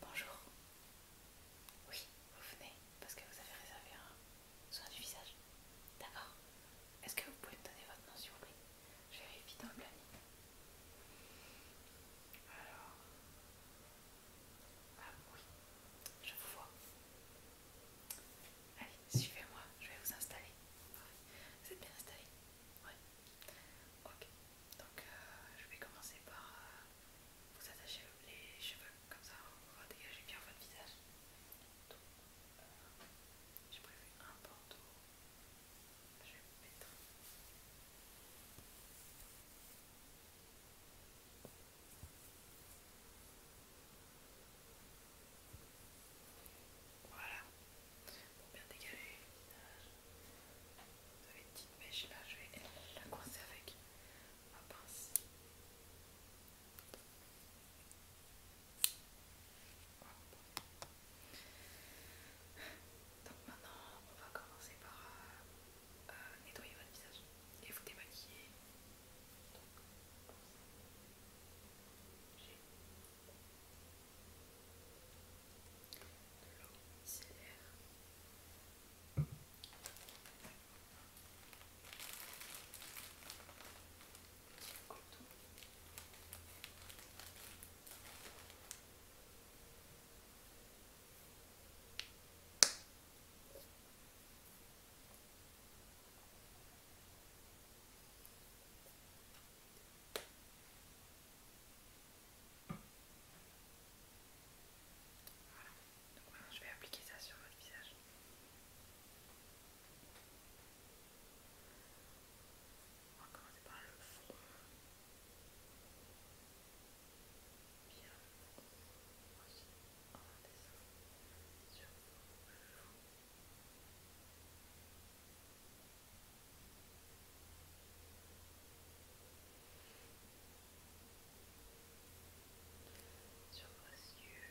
bonjour. Oui, vous venez parce que vous avez réservé un soin du visage. D'accord. Est-ce que vous pouvez me donner votre nom s'il vous plaît Je vérifie dans le planning. Alors, ah oui, je vous vois. Allez, suivez-moi, je vais vous installer. Vous êtes bien installé Oui Ok, donc euh, je vais commencer par euh, vous attacher les cheveux, comme ça on va dégager bien votre visage. Donc, euh, j'ai prévu un bandeau. Je vais mettre. Voilà, pour bien dégager le visage. Vous avez une petite mèche là, je vais la coincer avec ma pince. Donc maintenant on va commencer par euh, euh, nettoyer votre visage et vous démaquiller. Voilà, je vais appliquer ça sur votre visage. le bien aussi en sur vos joues. Sur vos yeux,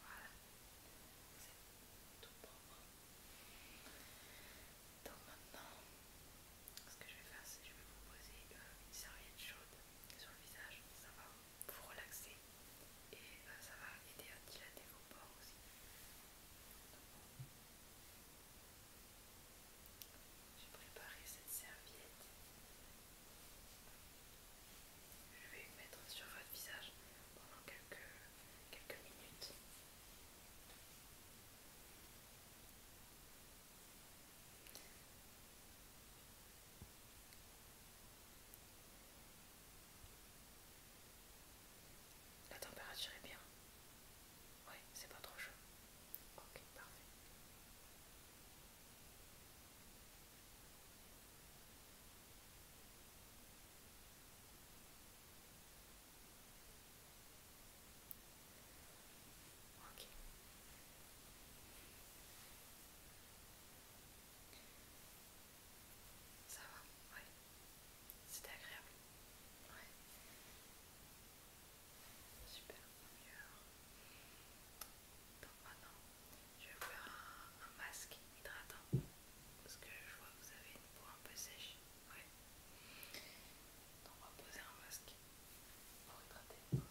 Voilà, c'est tout propre. Donc maintenant, ce que je vais faire, c'est que je vais vous poser euh, une serviette chaude sur le visage. Euh, ça va vous relaxer et ça va aider à dilater vos pores aussi. J'ai préparé cette serviette je vais mettre sur votre visage pendant quelques, quelques minutes. La température est bien. Oui, c'est pas trop chaud. Ok, parfait. Ça va, ouais. c'était agréable. Ouais. Super, Donc maintenant, je vais vous faire un, masque hydratant. Parce que je vois que vous avez une peau un peu sèche. Ouais. Donc on va poser un masque pour hydrater votre peau.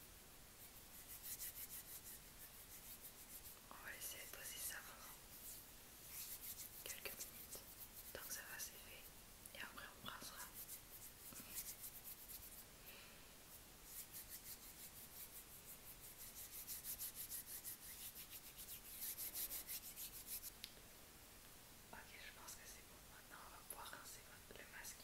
On va laisser poser ça pendant quelques minutes. donc ça va fait. et après on brassera. Ok, je pense que c'est bon. Maintenant, on va pouvoir rincer hein, le masque.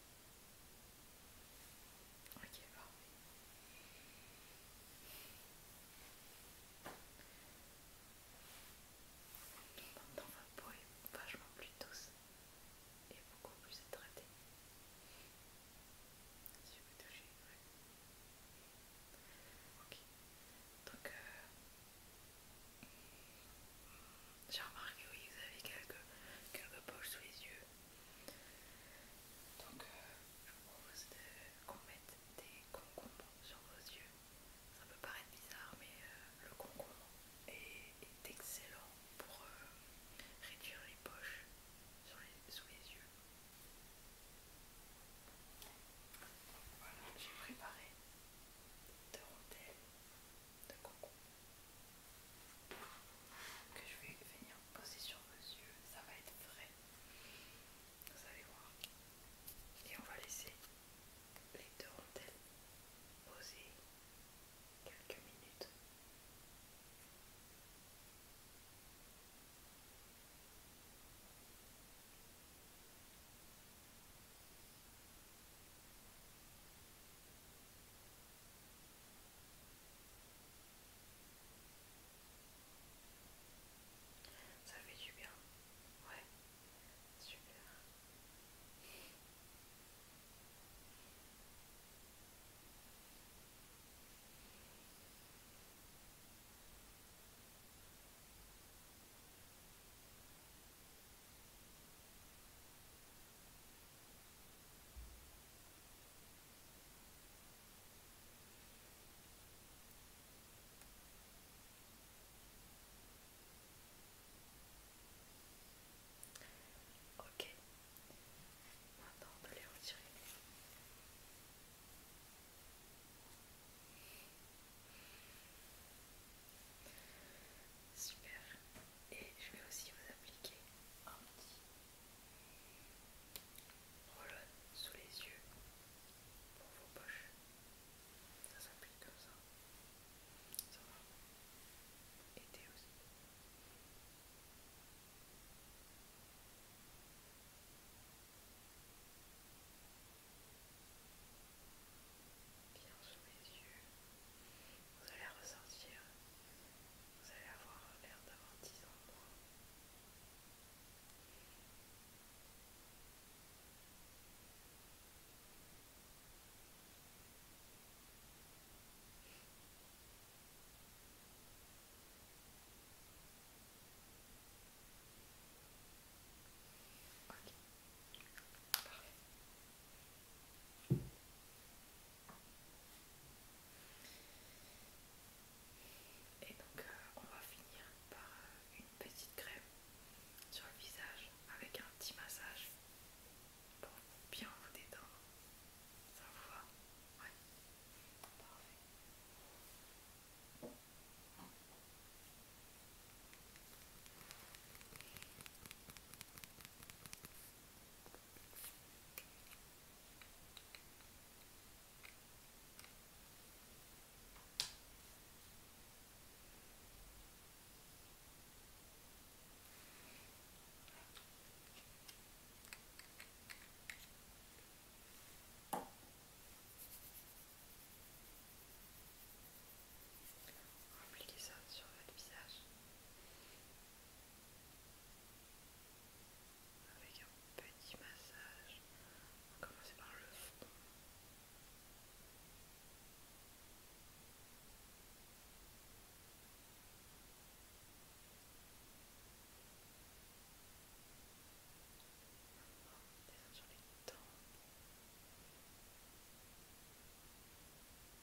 Ok, Donc Dans un poème vachement plus douce et beaucoup plus traitée. Si vous touchez, ouais. Ok. Donc, euh, j'ai remarqué, oui, vous avez quelques, quelques poches sous les yeux. Donc euh, je vous propose qu'on mette des concombres sur vos yeux. Ça peut paraître bizarre mais euh, le concombre est, excellent pour euh, réduire les poches sous les yeux. Voilà, j'ai préparé deux rondelles que je vais venir poser sur vos yeux. Ça va être vrai. Vous allez voir. Et on va laisser les deux rondelles poser quelques minutes. Ça fait du bien. Ouais. Super. Ok, maintenant de les retirer. Super et je vais aussi vous appliquer un petit roll sous les yeux pour vos poches. Ça s'applique comme ça. Ça va aider aussi. Bien sous les yeux. Vous allez ressortir, vous allez avoir l'air d'avoir 10 ans de moins. Ok, parfait. Et donc euh, on va finir par euh, une petite crème sur le visage avec un petit massage pour bien vous détendre. Ça vous va Oui Parfait. Appliquez ça sur votre visage avec un petit massage. On va commencer par le fond.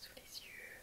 sous les yeux.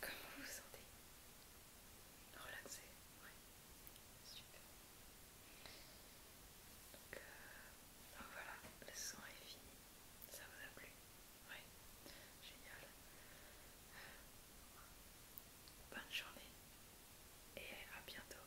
Comment vous vous sentez Relaxé, Super. Euh, voilà, le son est fini. Ça vous a plu Oui. Génial. Bonne journée et à bientôt.